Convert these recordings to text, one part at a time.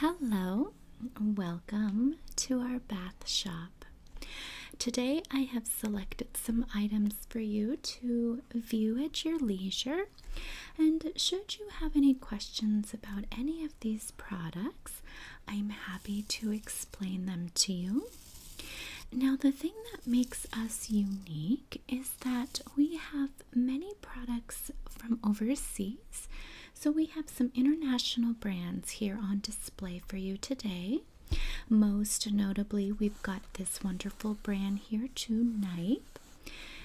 Hello, welcome to our bath shop. Today I have selected some items for you to view at your leisure. And should you have any questions about any of these products, I'm happy to explain them to you. Now, the thing that makes us unique is that we have many products from overseas. So we have some international brands here on display for you today. Most notably, we've got this wonderful brand here, too, Nipe.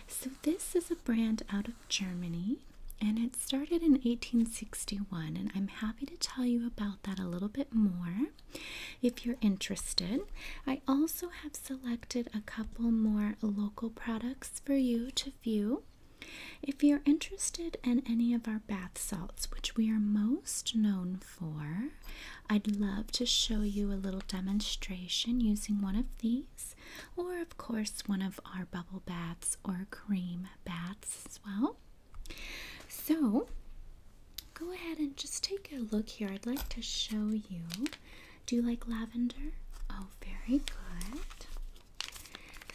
So this is a brand out of Germany. And it started in 1861, and I'm happy to tell you about that a little bit more if you're interested. I also have selected a couple more local products for you to view. If you're interested in any of our bath salts, which we are most known for, I'd love to show you a little demonstration using one of these, or of course, one of our bubble baths or cream baths as well. So, go ahead and just take a look here. I'd like to show you do you like lavender? Oh, very good.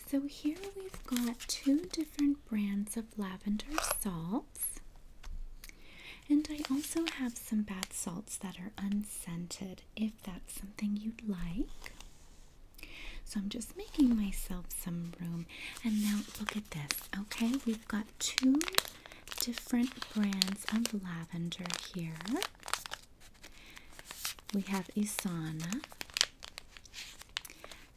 So here we've got two different brands of lavender salts. And I also have some bath salts that are unscented if that's something you'd like. So I'm just making myself some room. And now look at this. Okay, we've got two different brands of lavender here. We have Isana.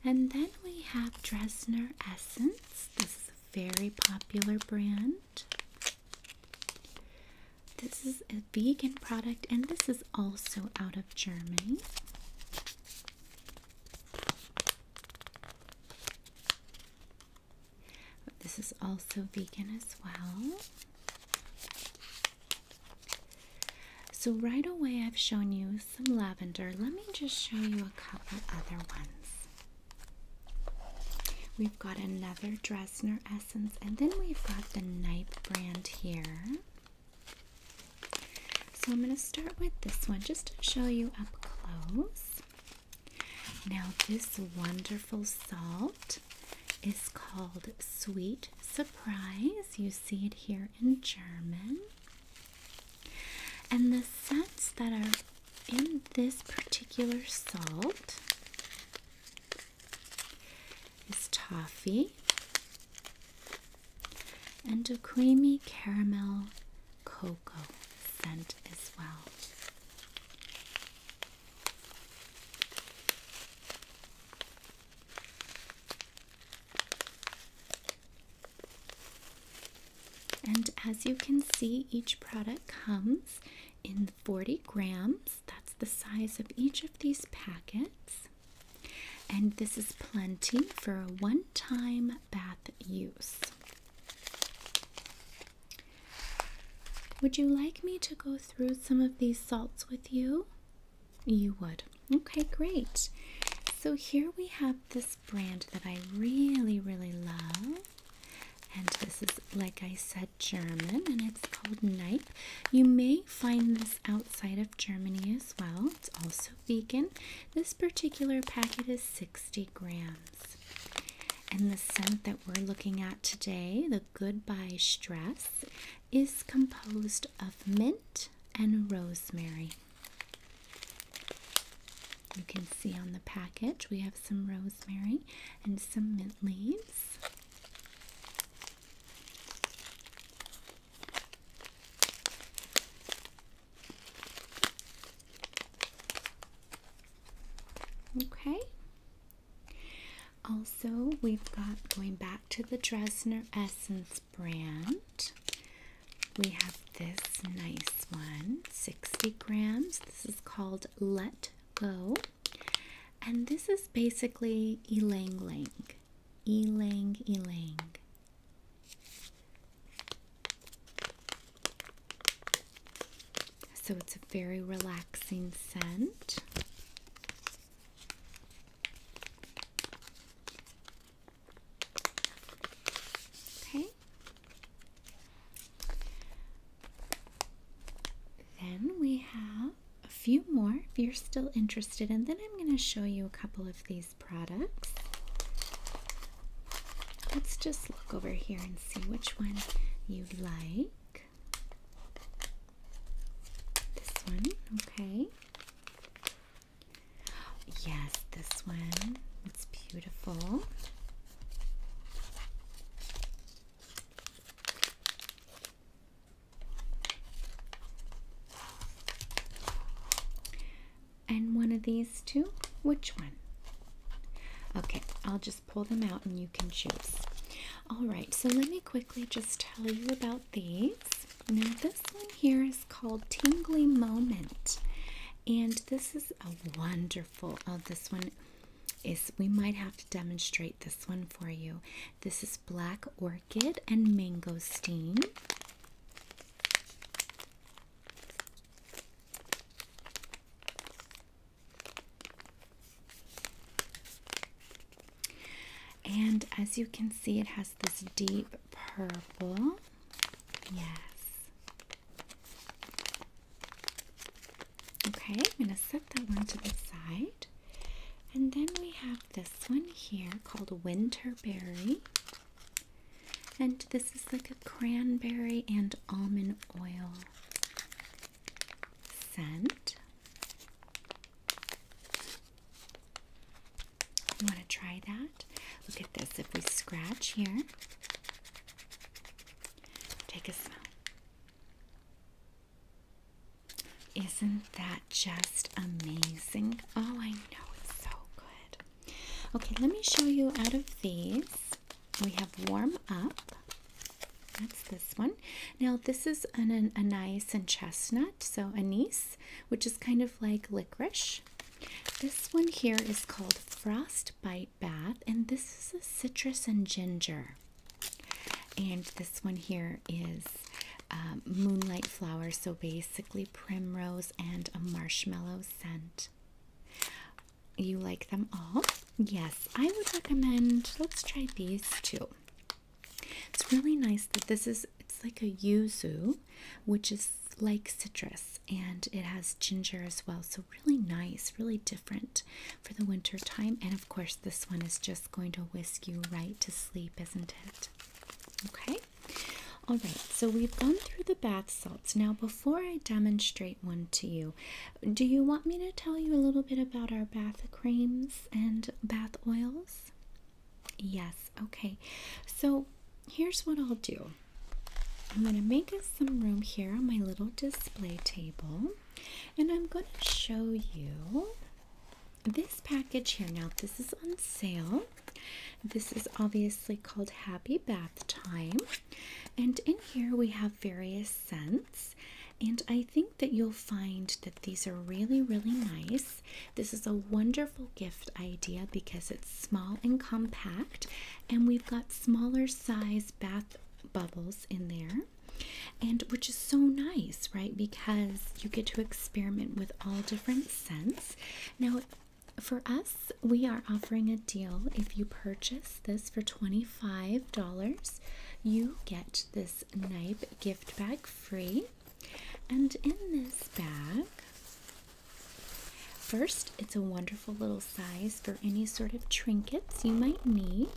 And then we have Dresner Essence. This is a very popular brand. This is a vegan product, and this is also out of Germany. This is also vegan as well. So, right away, I've shown you some lavender. Let me just show you a couple other ones. We've got another Dresner Essence, and then we've got the Night brand here. So, I'm going to start with this one just to show you up close. Now, this wonderful salt is called Sweet Surprise. You see it here in German. And the scents that are in this particular salt is toffee and a creamy caramel cocoa scent as well. And as you can see, each product comes in 40 grams. That's the size of each of these packets. And this is plenty for a one time bath use. Would you like me to go through some of these salts with you? You would. Okay, great. So here we have this brand that I really, really love. And this is, like I said, German and it's called Nipe. You may find this outside of Germany as well. It's also vegan. This particular packet is 60 grams. And the scent that we're looking at today, the Goodbye Stress is composed of mint and rosemary. You can see on the package we have some rosemary and some mint leaves. Okay. Also, we've got going back to the Dresner Essence brand. We have this nice one, 60 grams. This is called Let Go. And this is basically Elang Lang. Elang Elang. So it's a very relaxing scent. Okay. Then we have a few more if you're still interested, and then I'm going to show you a couple of these products. Let's just look over here and see which one you like. This one, okay. Yes, this one. It's beautiful. And one of these two? Which one? Okay, I'll just pull them out and you can choose. All right, so let me quickly just tell you about these. Now, this one here is called Tingly Moment, and this is a wonderful. Oh, this one is we might have to demonstrate this one for you. This is Black Orchid and Mango Steam. And as you can see, it has this deep purple. Yes. Okay, I'm going to set that one to the side. And then we have this one here called Winterberry. And this is like a cranberry and almond oil scent. You want to try that? Look at this. If we scratch here, take a smell. Isn't that just amazing? Oh, I know it's so good. Okay, let me show you out of these we have warm up. That's this one. Now, this is an, anise and chestnut, so anise, which is kind of like licorice. This one here is called Frostbite Bath, and this is a citrus and ginger. And this one here is um, Moonlight Flower, so basically primrose and a marshmallow scent you like them all. Yes, I would recommend let's try these too. It's really nice that this is it's like a yuzu, which is like citrus and it has ginger as well. So really nice, really different for the winter time. And of course, this one is just going to whisk you right to sleep, isn't it? Okay. All right, so we've gone through the bath salts. Now, before I demonstrate one to you. Do you want me to tell you a little bit about our bath creams and bath oils? Yes, okay. So here's what I'll do I'm going to make us some room here on my little display table, and I'm going to show you this package here. Now, this is on sale. This is obviously called Happy Bath Time. And in here we have various scents. And I think that you'll find that these are really, really nice. This is a wonderful gift idea because it's small and compact, and we've got smaller size bath bubbles in there. And which is so nice, right? Because you get to experiment with all different scents. Now, for us, we are offering a deal if you purchase this for $25, you get this Nibe gift bag free. And in this bag, first, it's a wonderful little size for any sort of trinkets you might need.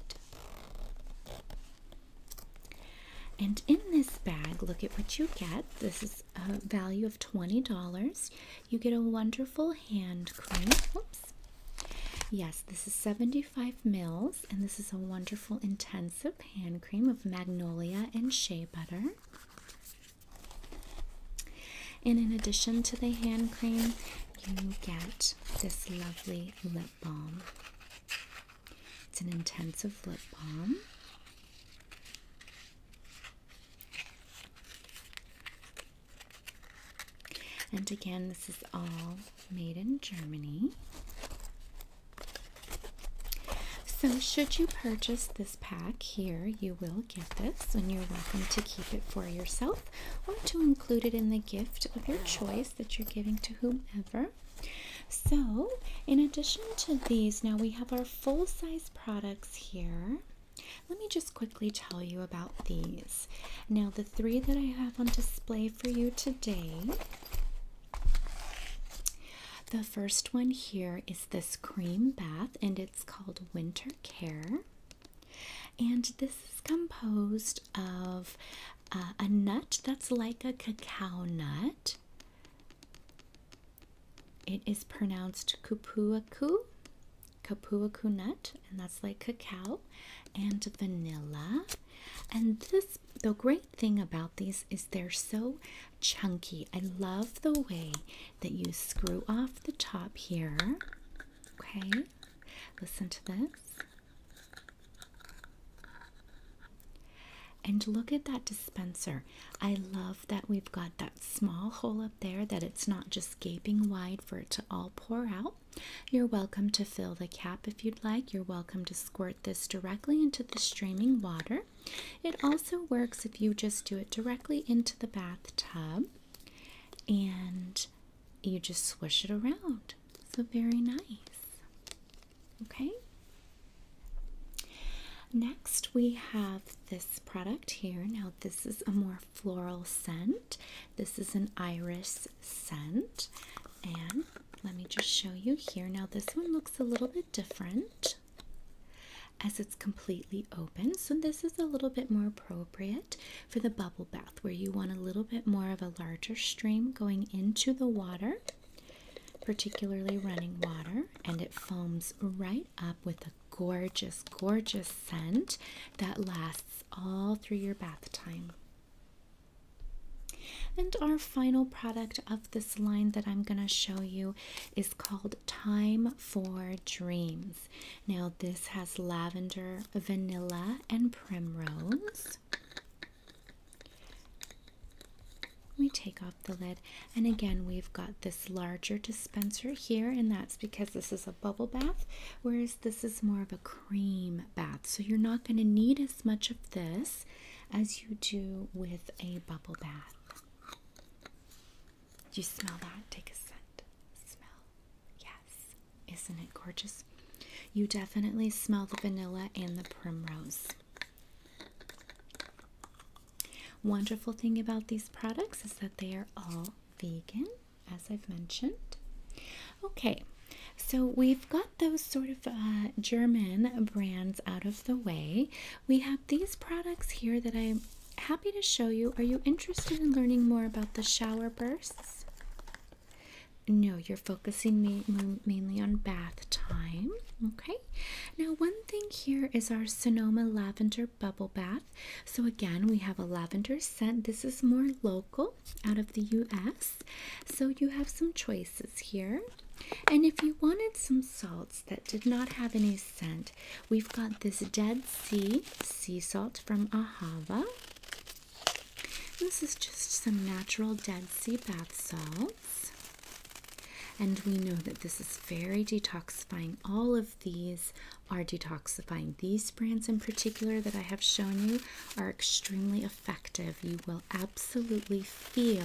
And in this bag, look at what you get. This is a value of $20. You get a wonderful hand cream. Oops. Yes, this is $75 Five mils, and this is a wonderful intensive hand cream of magnolia and shea butter. And in addition to the hand cream, you get this lovely lip balm. It's an intensive lip balm. And again, this is all made in Germany. So, should you purchase this pack here, you will get this, and you're welcome to keep it for yourself or to include it in the gift of your choice that you're giving to whomever. So, in addition to these, now we have our full size products here. Let me just quickly quickly tell you about these. Now, the three that I have on display for you today. The first one here is this cream bath, and it's called Winter Care. And this is composed of uh, a nut that's like a cacao nut. It is pronounced kupuaku, Kapua Kunut, and that's like cacao, and vanilla. And this, the great thing about these is they're so chunky. I love the way that you screw off the top here. Okay, listen to this. And look at that dispenser. I love that we've got that small hole up there, that it's not just gaping wide for it to all pour out. You're welcome to fill the cap if you'd like. You're welcome to squirt this directly into the streaming water. It also works if you just do it directly into the bathtub and you just swish it around. So, very nice. Okay. Next, we have this product here. Now, this is a more floral scent. This is an iris scent. And let me just show you here. Now, this one looks a little bit different as it's completely open. So, this is a little bit more appropriate for the bubble bath where you want a little bit more of a larger stream going into the water, particularly running water, and it foams right up with a gorgeous, gorgeous scent that lasts all through your bath time. And our final product of this line that I'm going to show you is called Time for Dreams. Now, this has lavender, vanilla, and primrose. We take off the lid, and again, we've got this larger dispenser here, and that's because this is a bubble bath, whereas this is more of a cream bath. So you're not going to need as much of this as you do with a bubble bath. Do you smell that? Take a scent. Smell. Yes. Isn't it gorgeous? You definitely smell the vanilla and the primrose. Wonderful thing about these products is that they are all vegan as I've mentioned. Okay, so we've got those sort of uh, German brands out of the way. We have these products here that I'm happy to show you. Are you interested in learning more about the shower bursts? No, you're focusing mainly on bath time. Okay. Now, one thing here is our Sonoma Lavender Bubble Bath. So, again, we have a lavender scent. This is more local out of the US. So you have some choices here. And if you wanted some salts that did not have any scent, we've got this Dead Sea sea salt from Ahava. This is just some natural Dead Sea bath salts. And we know that this is very detoxifying. All of these are detoxifying. These brands in particular that I have shown you are extremely effective. You will absolutely feel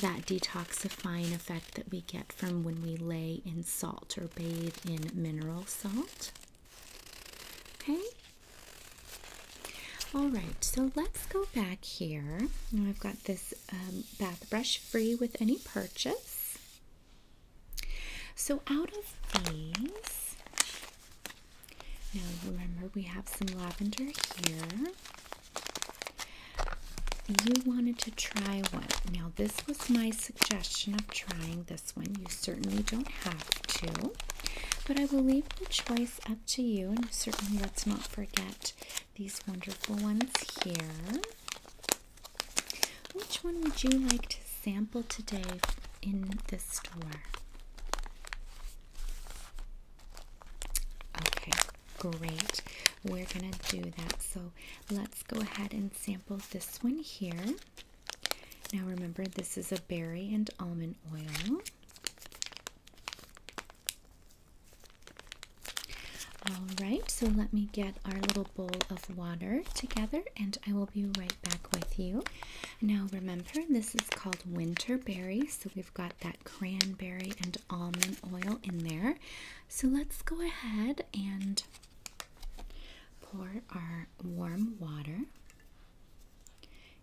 that detoxifying effect that we get from when we lay in salt or bathe in mineral salt. Okay. All right, so let's go back here. Now I've got this um, bath brush free with any purchase. So, out of these, now remember we have some lavender here. You wanted to try one. Now, this was my suggestion of trying this one. You certainly don't have to, but I will leave the choice up to you. And certainly, let's not forget these wonderful ones here. Which one would you like to sample today in this store? Okay, great. We're gonna do that. So let's go ahead and sample this one here. Now remember, this is a berry and almond oil. All right, so let me get our little bowl of water together and I will be right back with you. Now, remember, this is called winter berry, so we've got that cranberry and almond oil in there. So let's go ahead and pour our warm water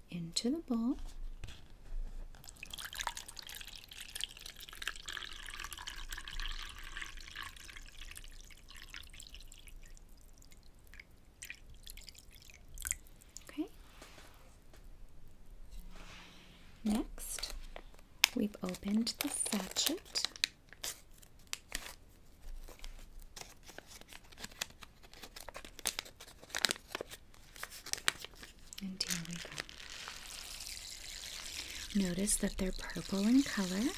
into the bowl. Okay. Next, we've opened the sachet. And here we go. Notice that they're purple in color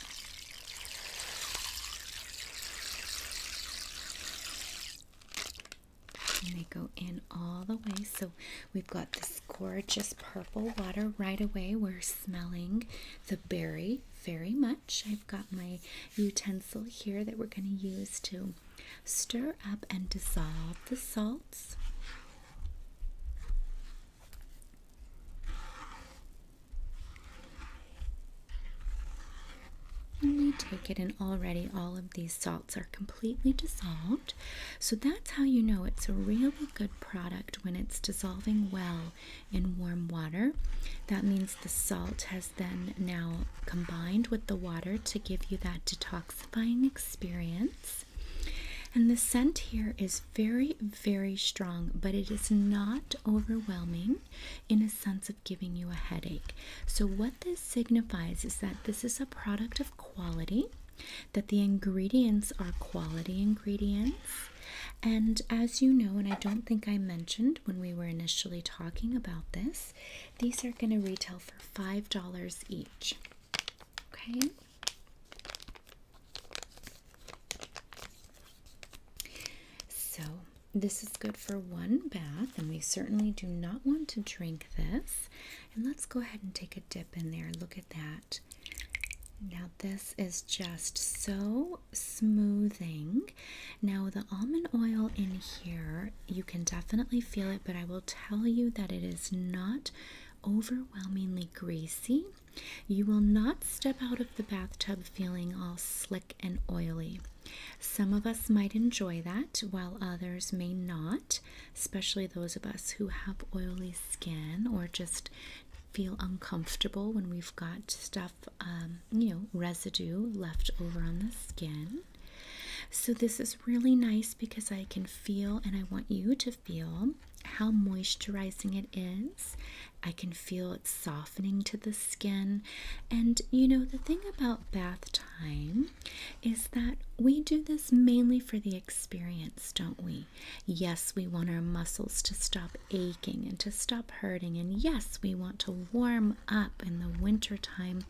they go in all the way. So we've got this gorgeous purple water right away. We're smelling the berry very much. I've got my utensil here that we're going to use to stir up and dissolve the salts. And we take it, and already all of these salts are completely dissolved. So that's how you know it's a really good product when it's dissolving well in warm water. That means the salt has then now combined with the water to give you that detoxifying experience. And the scent here is very, very strong, but it is not overwhelming in a sense of giving you a headache. So, what this signifies is that this is a product of quality, that the ingredients are quality ingredients. And as you know, and I don't think I mentioned when we were initially talking about this, these are going to retail for $5 each. Okay. So, this is good for one bath, and we certainly do not want to drink this. And let's go ahead and take a dip in there. Look at that. Now, this is just so smoothing. Now, the almond oil in here, you can definitely feel it, but I will tell you that it is not overwhelmingly greasy. You will not step out of the bathtub feeling all slick and oily. Some of us might enjoy that, while others may not, especially those of us who have oily skin or just feel uncomfortable when we've got stuff, um, you know, residue left over on the skin. So, this is really nice because I can feel and I want you to feel how moisturizing it is I can feel it softening to the skin. And you know, the thing about bath time is that we do this mainly for the experience, don't we? Yes, we want our muscles to stop aching and to stop hurting. And yes, we want to warm up in the winter time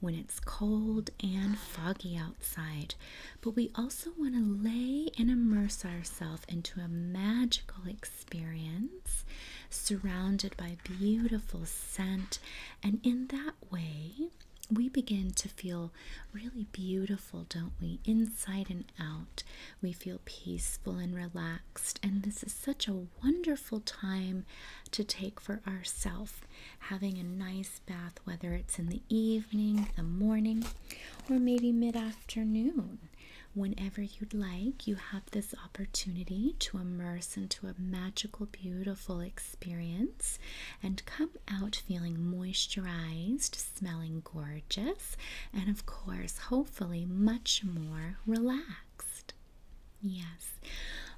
when it's cold and foggy outside. But we also want to lay and immerse ourselves into a magical experience experience, surrounded by beautiful scent, and in that way, we begin to feel really beautiful, don't we? Inside and out, we feel peaceful and relaxed. And this is such a wonderful time to take for ourselves. Having a nice bath, whether it's in the evening, the morning, or maybe mid afternoon whenever you'd like, you have this opportunity to immerse into a magical, beautiful experience and come out feeling moisturized, smelling gorgeous, and of course, hopefully, much more relaxed. Yes.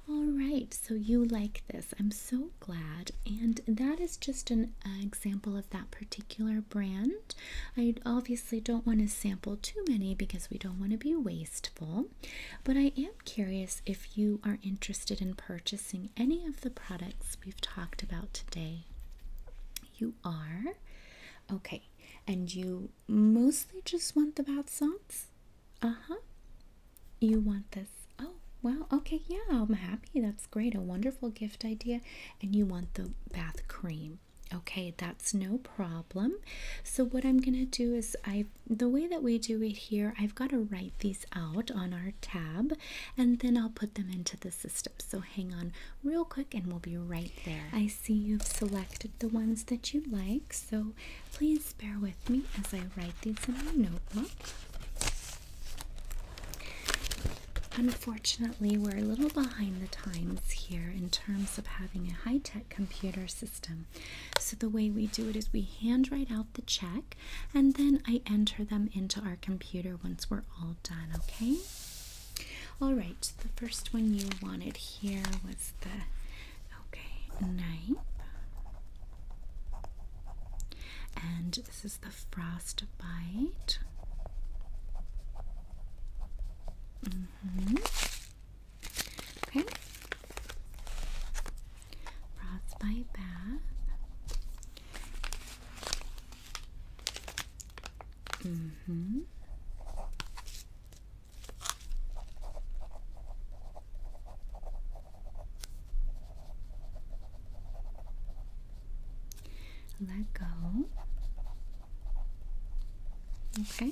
All right, so you like this. I'm so glad. And that is just an example of that particular brand. I obviously don't want to sample too many because we don't want to be wasteful, but I am curious if you are interested in purchasing any of the products we've talked about today. You are? Okay, and you mostly just want the bath salts? Uh huh. You want this? Oh, well, okay, yeah, I'm happy. That's great. A wonderful gift idea. And you want the bath cream. Okay, that's no problem. So what I'm going to do is I the way that we do it here, I've got to write these out on our tab and then I'll put them into the system. So hang on real quick and we'll be right there. I see you've selected the ones that you like, so please bear with me as I write these in my notebook. Unfortunately, we're a little behind the times here in terms of having a high tech computer system. So, the way we do it is we handwrite out the check and then I enter them into our computer once we're all done, okay? All right, the first one you wanted here was the okay knife. And this is the frostbite. Mm -hmm. Okay. bath. Mm hmm let go. Okay. Okay.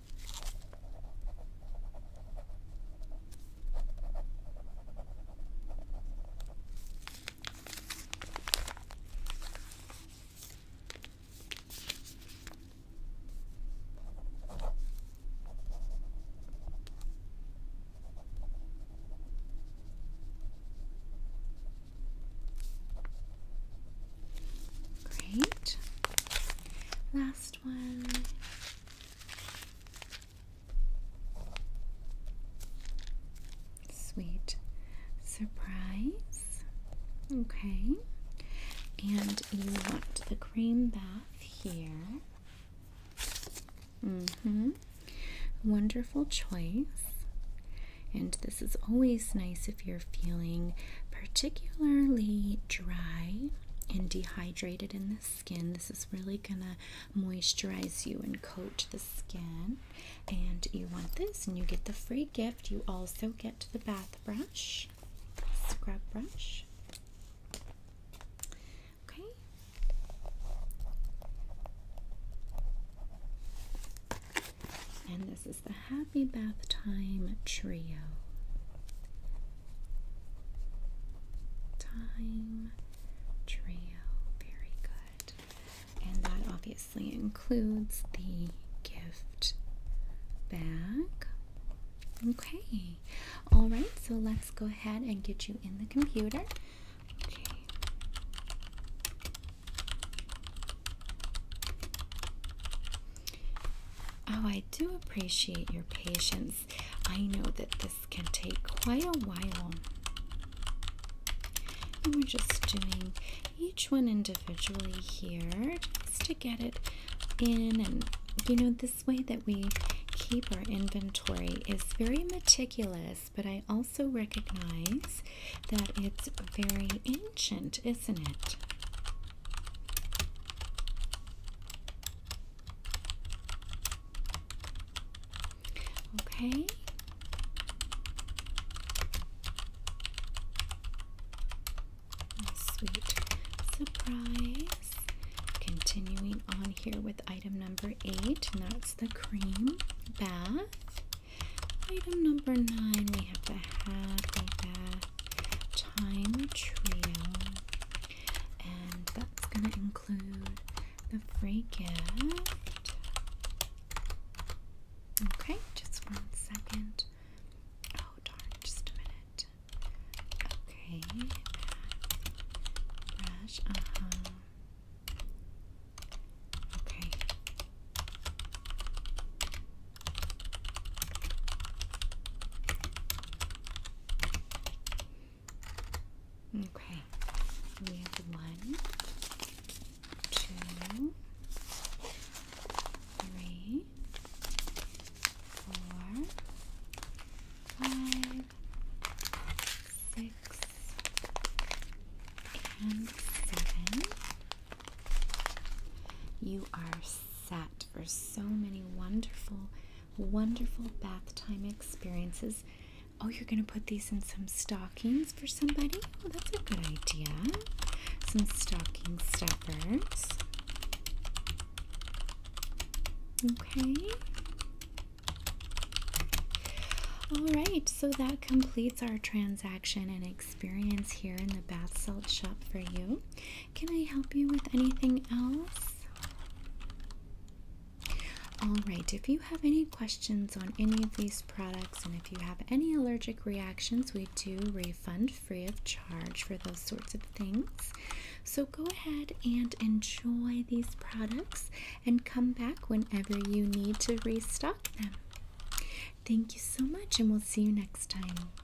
Great. Last one. Sweet surprise. Okay. And you want the cream bath here. Mm-hmm. Wonderful choice. And this is always nice if you're feeling particularly dry and dehydrated in the skin. This is really going to moisturize you and coat the skin. And you want this, and you get the free gift. You also get the bath brush, scrub brush. Okay. And this is the Happy Bath Time Trio. Time trio. Very good. And that obviously includes the gift bag. Okay. All right. So let's go ahead and get you in the computer. Oh, I do appreciate your patience. I know that this can take quite a while. And we're just doing each one individually here just to get it in. And you know, this way that we keep our inventory is very meticulous, but I also recognize that it's very ancient, isn't it? Okay. sweet surprise. Continuing on here with item number eight, and that's the cream bath. Item number nine, we have the happy bath. Time Trio, and that's going to include the free gift. Okay, just one second. Oh, darn, just a minute. Okay, brush, uh huh. Okay. Okay, we have one, two, three, four, five, six, and seven. You are set for so many wonderful, wonderful bath time experiences. Oh, you're going to put these in some stockings for somebody? Oh, that's a good idea. Some stocking stuffers. Okay. All right, so that completes our transaction and experience here in the bath salt shop for you. Can I help you with anything else? Alright, if you have any questions on any of these products and if you have any allergic reactions, we do refund free of charge for those sorts of things. So go ahead and enjoy these products and come back whenever you need to restock them. Thank you so much, and we'll see you next time.